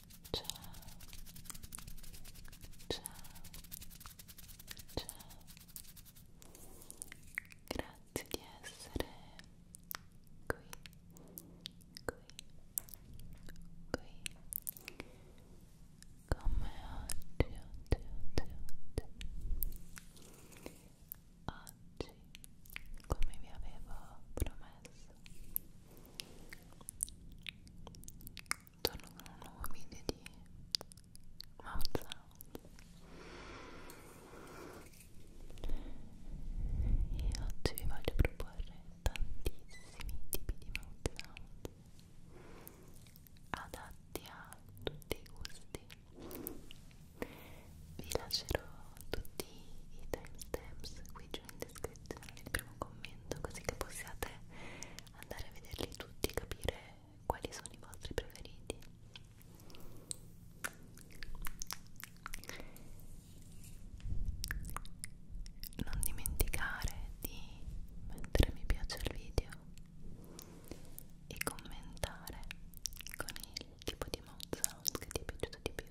ciao ciao ciao grazie di essere qui qui qui come oggi oggi oggi oggi oggi come vi avevo promesso torno con un nuovo video di mouth sound e oggi vi voglio proporre tantissimi tipi di mouth sound adatti a tutti i gusti vi lascerò tutti i timestamps qui giù in descrizione attenzione nel primo commento così che possiate andare a vederli tutti e capire quali sono i vostri preferiti non dimenticare di mettere mi piace al video e commentare con il tipo di mouth sound che ti è piaciuto di più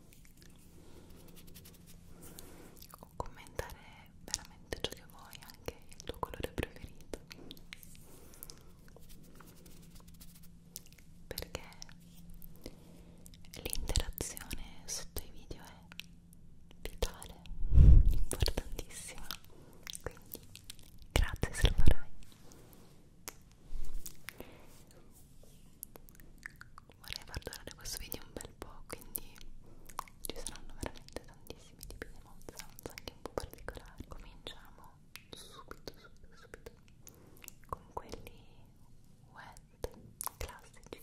o ecco, commentare veramente ciò che vuoi, anche il tuo colore preferito perché l'interazione sotto i video è vitale, importantissima quindi grazie se lo farai vorrei far durare questo video un bel po' quindi ci saranno veramente tantissimi tipi di mod sounds anche un po' particolari cominciamo subito subito subito con quelli wet classici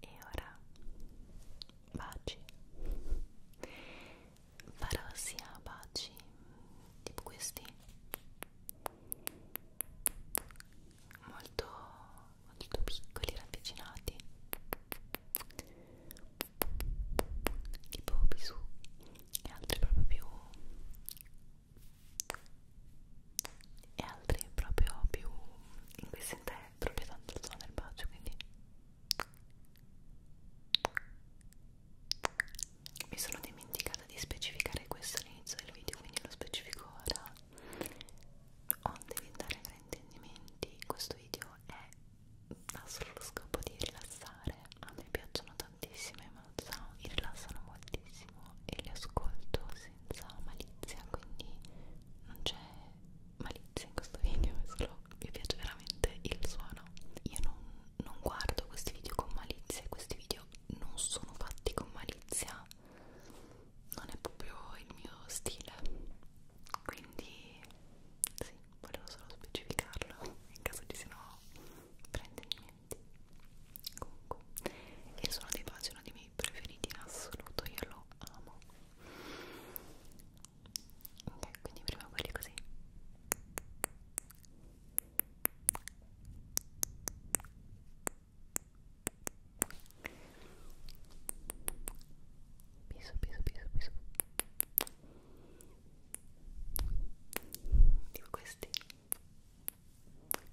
E ora baci farò sia baci tipo questi molto molto piccoli ravvicinati tipo bisù e altri proprio più e altri proprio più in cui si intende è proprio tanto il suono del bacio quindi mi sono dimenticata di specificare questo all'inizio del video quindi lo specifico ora onde evitare fraintendimenti questo video è ha solo lo scopo di rilassare a me piacciono tantissimo i mouth mi rilassano moltissimo e li ascolto senza malizia quindi non c'è malizia in questo video, è solo mi piace veramente il suono. Io non, non guardo questi video con malizia, questi video non sono fatti con malizia, non è proprio il mio stile. Quindi, sì, volevo solo specificarlo in caso ci siano prendimenti. Comunque, il suono dei baci è uno dei miei preferiti in assoluto, io lo amo ok quindi prima quelli così piso piso piso piso tipo questi ok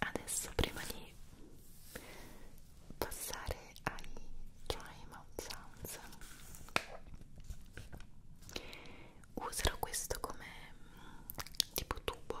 Adesso prima di passare ai dry mouth sounds userò questo come mm, tipo tubo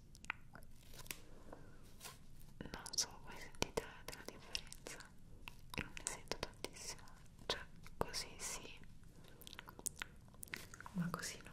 non so voi sentite la differenza non ne sento tantissimo cioè così sì ma così no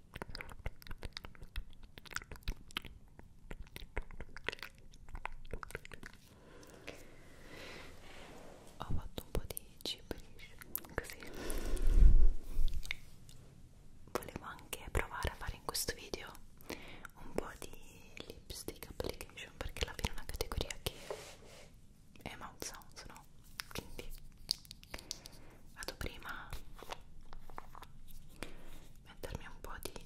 Ho fatto un po' di gibberish così Volevo anche provare a fare in questo video un po' di lipstick application perché la fine è una categoria che è mouth sounds, no? farlo quindi vado prima a mettermi un po' di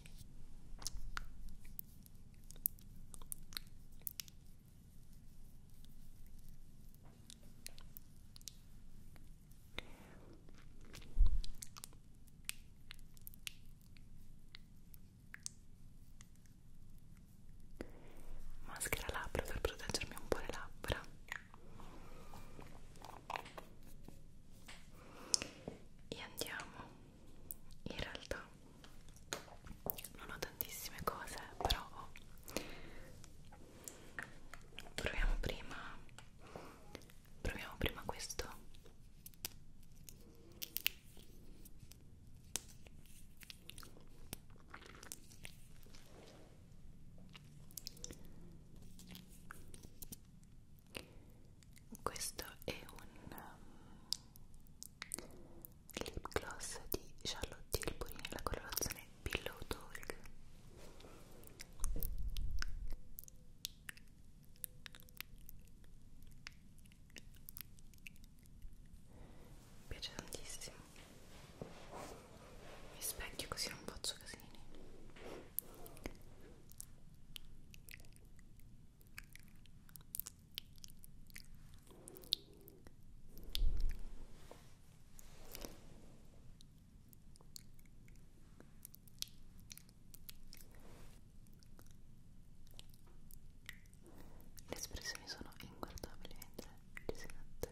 maschera labbra per proteggermi un po' le labbra e andiamo in realtà non ho tantissime cose però proviamo prima proviamo prima questo questo è un um, lip gloss di Charlotte Tilbury nella colorazione Pillow Talk mi piace tantissimo mi specchio così non faccio casini le espressioni sono inguardabili mentre ci si mette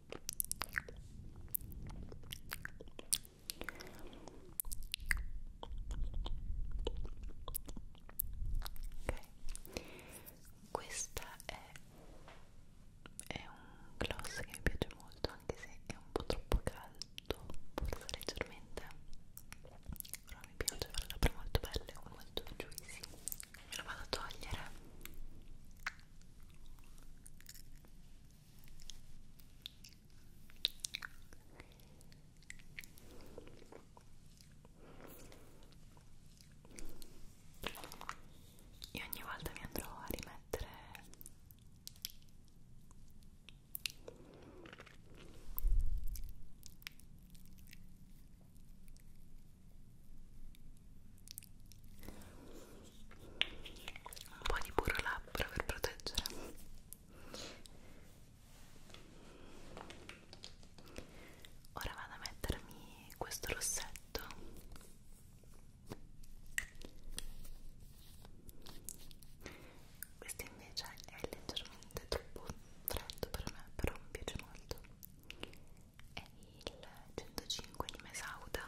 Ok, questa è, è un gloss che mi piace molto, anche se è un po' troppo caldo, forse leggermente, però mi piace, fa le labbra molto belle, molto juicy. Me lo vado a togliere. Io ogni volta mi andrò a rimettere un po' di burro labbra per proteggere ora vado a mettermi questo rossetto questo invece è leggermente troppo freddo per me però mi piace molto è il 105 di Mesauda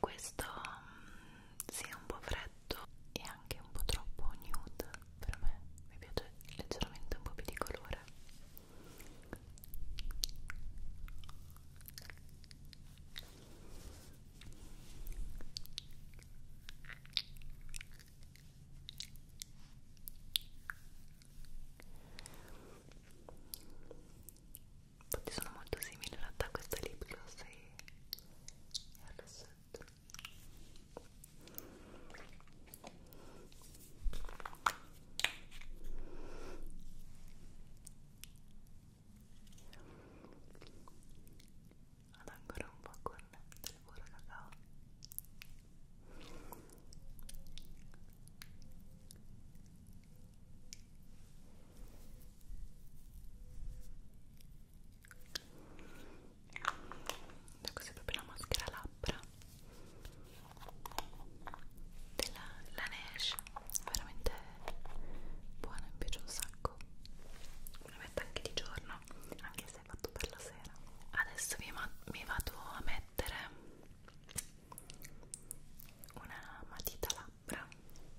questo mm, si sì, è un po' freddo e anche un po' troppo nude per me mi piace leggermente un po' più di colore infatti sono molto simili in realtà a questa lip gloss e, e al rossetto vado ancora un po' con il burro cacao da questa è proprio la maschera labbra della Laneige veramente buona, mi piace un sacco me la metto anche di giorno anche se è fatto per la sera adesso mi, mi vado a mettere una matita là labbra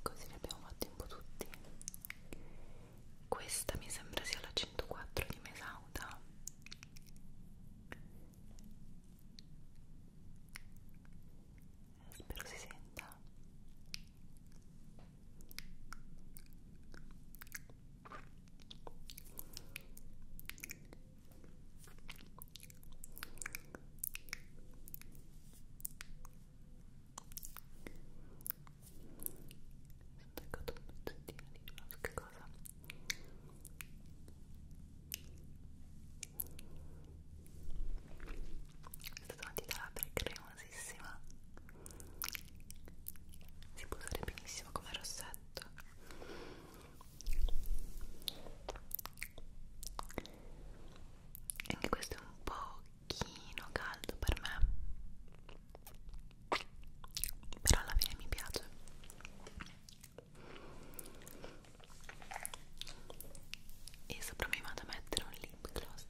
così li abbiamo fatti un po' tutti questa mi sembra sia la 104 di Mesauda eh, spero si senta staccato un pezzettino di qualche cosa questa matita labbra è cremosissima si può usare benissimo come rossetto e anche questo è un po' pochino caldo per me però alla fine mi piace e sopra mi vado a mettere un lip gloss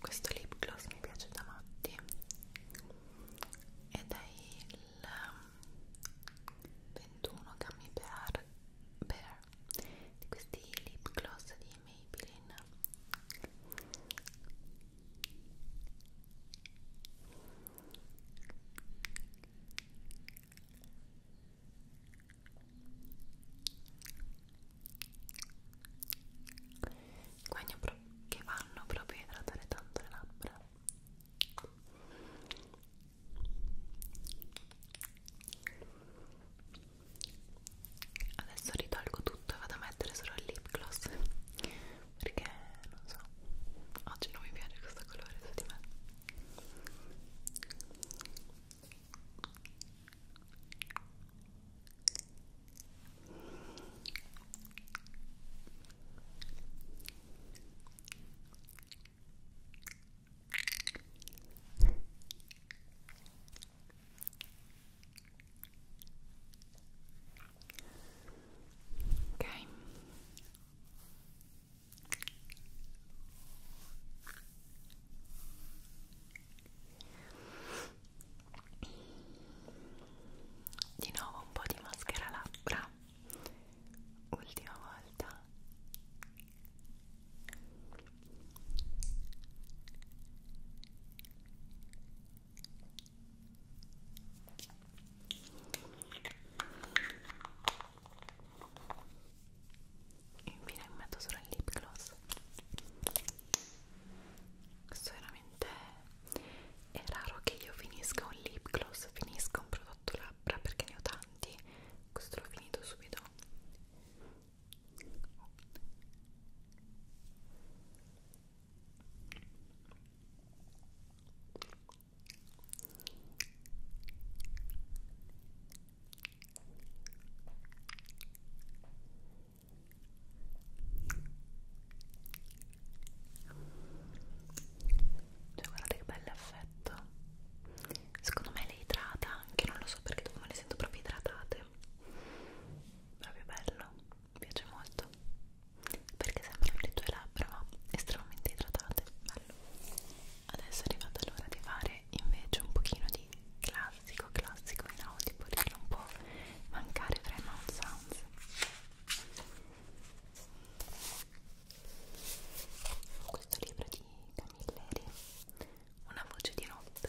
questo lip gloss mi piace da matti ed è il 21 Gummy Bear, Bear di questi lip gloss di Maybelline guagno che vanno proprio a idratare tanto le labbra Adesso ritalgo tutto e vado a mettere solo il lip gloss perché non so, oggi non mi piace questo colore su di me. Ok. Di nuovo un po' di maschera labbra ultima volta infine metto solo il lip gloss questo veramente è raro che io finisca un lip gloss finisca un prodotto fatto labbra perché ne ho tanti questo l'ho finito subito cioè guardate che bello effetto Secondo me le idrata anche, non lo so perché dopo me le sento proprio idratate Proprio bello, mi piace molto Perché sembrano le tue labbra ma estremamente idratate Bello Adesso è arrivata l'ora di fare invece un pochino di classico, classico in audio Perché non può mancare fra i mouth sounds questo libro di Camilleri Una voce di notte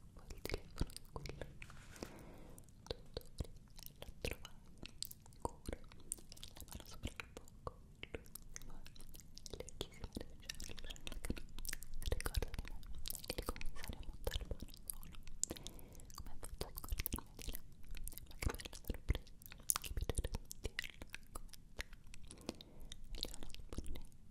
poi il telefono è quello dottore l'ha trovato cura la mano sopra il fuoco l'ultima lecchissima del giorno ricorda di me il commissario Montalbano solo come ha fatto a scordarmi di là ma che bella sorpresa che piacere sentirla come sta Eliana Spurnetti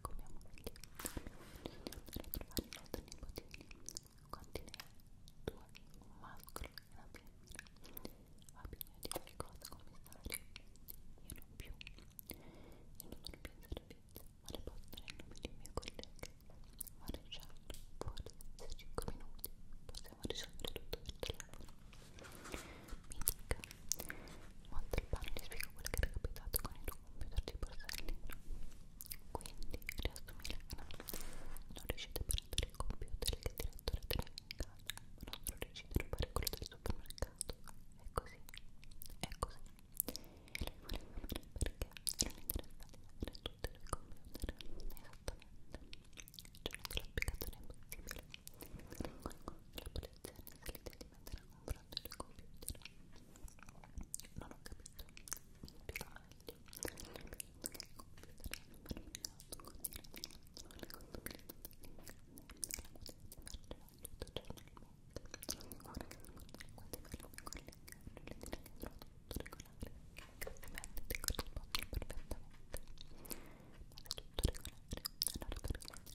come moglie. Ritrovare i nostri nipotini contiene due, un mascolo e una femmina. Ha bisogno di qualcosa come stare. Io non più. Io non sono più in servizio, ma le posso dare il nome dei miei colleghi. Maresciallo, forse, se 5 minuti possiamo risolvere tutto per telefono. Mi dica, molto il pane, gli spiego quello che era capitato con il tuo computer di borsellino quindi resto Milano non riuscite a prendere il computer che il direttore te l'ha regalato ma non solo riuscite a rubare quello del supermercato è così è così e lui voleva vedere perché erano interessati ad avere tutti i tuoi computer esattamente c'è una spiegazione impossibile la polizia ha iniziato a mettere confronto del computer non ho capito mi spiego meglio non ho capito che il computer è permeato con direzione con clima dell'incarno la quotidianità tutto giornalmente ovviamente ti corrisponde perfettamente ma è tutto regolare allora perché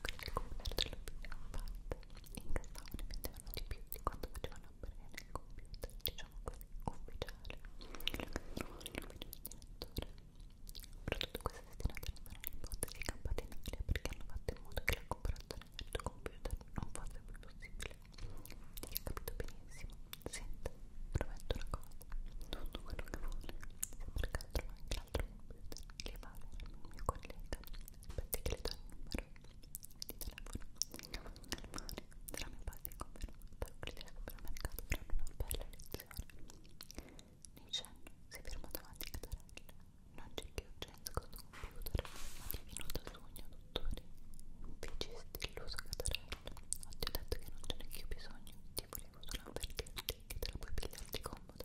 quelle computer ce le abbiamo fatte e incassavano e vendevano di più di quanto facevano aprire nel computer diciamo così ufficiale però tutto questo è destinato a rimanere in botte dei campatinari perché hanno fatto in modo che la comparazione del tuo computer non fosse più possibile ti hai capito benissimo senta prometto una cosa tutto quello che vuole se per caso anche tra l'altro le vale il mio collega aspetta che le do il numero di telefono sarà mio padre convenuto al supermercato per una bella lezione Nicenno si fermò davanti a Catarella non c'è che urgenza con il computer ma divenuto sogno dottore feci stilloso Catarella ho detto che non ce n'è più bisogno ti volevo solo avvertirti che te la puoi pigliarti comoda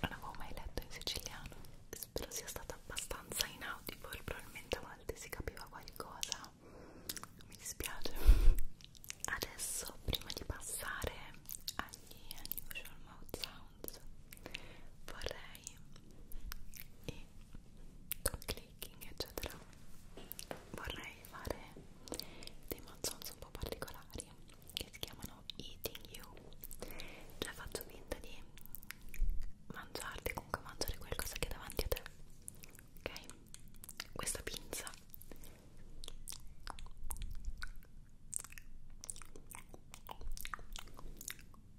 non avevo mai letto in siciliano spero sia stato abbastanza inaudibile probabilmente a volte si capiva qualcosa mi dispiace adesso prima di passare agli unusual mouth sounds vorrei e con clicking eccetera vorrei fare dei mozzons un po' particolari che si chiamano eating you cioè faccio finta di mangiarti comunque mangiare qualcosa che è davanti a te ok? questa pinza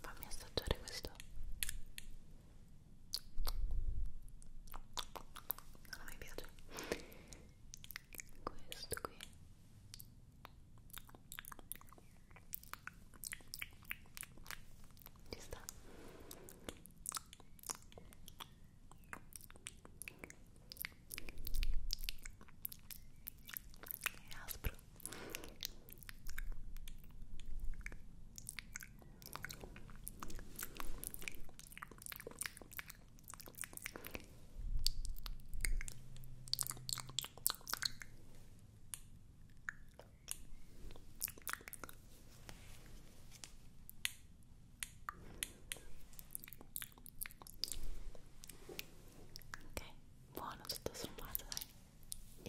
Fammi assaggiare questo non mi piace questo qui ci sta è aspro Ok, buono tutto sommato dai.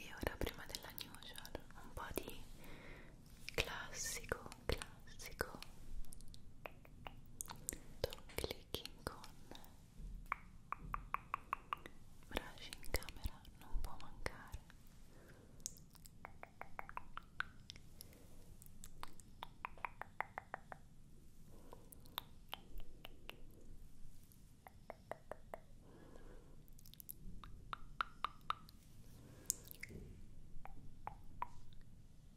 E ora prima della newsletter un po' di classico, classico. Top clicking con brush in camera non può mancare Ora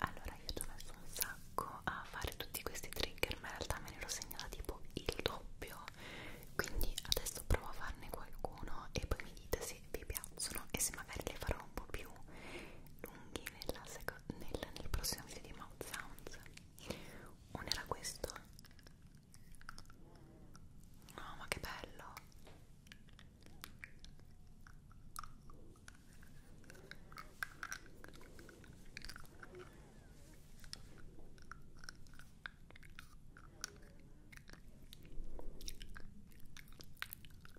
Allora, io ci ho messo un sacco a fare tutti questi trigger, ma in realtà me ne ero segnata tipo il doppio. Quindi adesso provo a farne qualcuno e poi mi dite se vi piacciono e se magari li farò un po' più lunghi nella nel, nel prossimo video di Mouth Sounds uno era questo no oh, ma che bello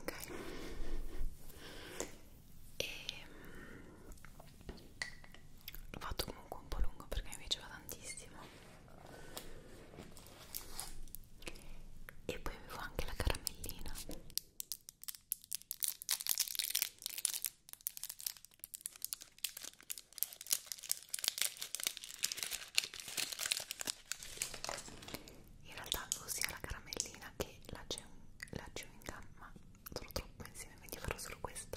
ok e ehm, l'ho fatto comunque un po' lungo perché mi piaceva tantissimo e poi avevo anche la caramellina in realtà sia la caramellina che la, la chewing gum ma sono troppo insieme quindi farò solo questa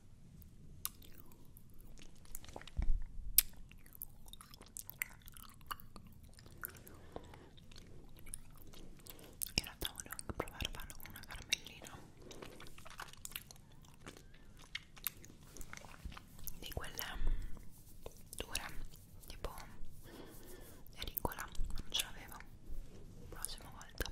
in realtà volevo anche provare a farlo con una caramellina di quelle mm, dure tipo ericola non ce l'avevo prossima volta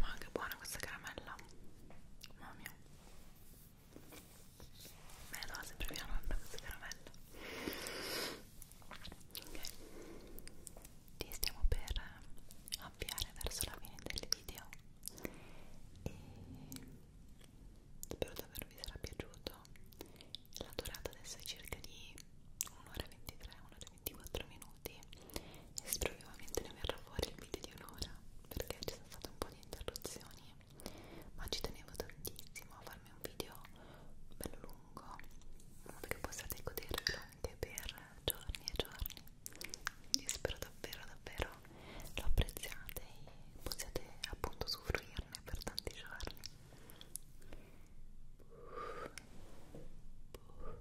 Ma che buona questa caramella, mamma mia. Beh no, sempre mia nonna questa caramella Ok Ti stiamo per avviare verso la fine del video E spero davvero vi sarà piaciuto La durata adesso è circa di 1 ora 23, 1 ora 24 minuti e spero che ovviamente ne verrà fuori il video di un'ora perché ci sono state un po' di interruzioni ma ci tenevo tantissimo a farmi un video bello lungo in modo che possiate goderlo anche per giorni e giorni e spero davvero davvero lo apprezziate e possiate appunto usufruirne per tanti giorni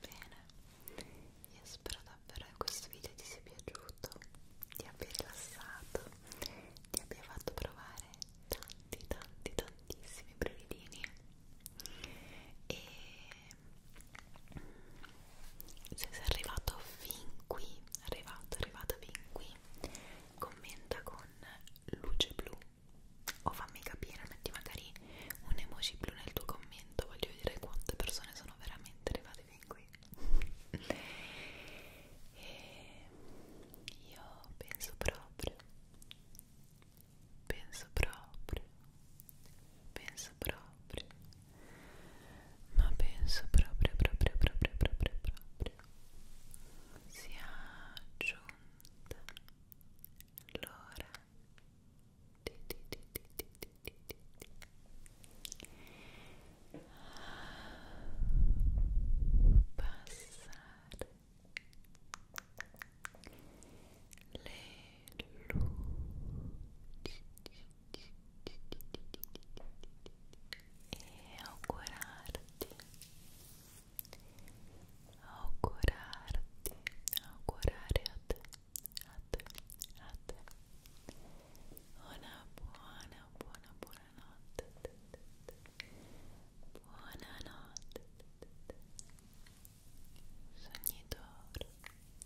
Bene, io spero davvero che questo video ti sia piaciuto, ti abbia rilassato, ti abbia fatto provare tanti tanti tantissimi brevidini e se sei arrivato fin qui arrivato arrivata fin qui commenta con luce blu o fammi capire metti magari un emoji blu nel tuo commento voglio vedere quante persone sono veramente arrivate fin qui e io penso proprio penso proprio penso proprio ma penso proprio proprio proprio proprio proprio sia giunta l'ora di di di di di di di di passare le e augurarti augurarti augurare a te a te a te una buona buona buona notte buona notte sognitore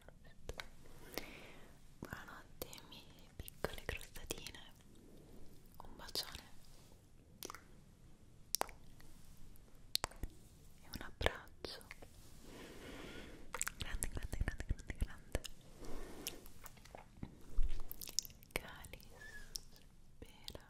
buonanotte buonanotte mie piccole crostatine un bacione e un abbraccio grande grande grande grande grande Calis spera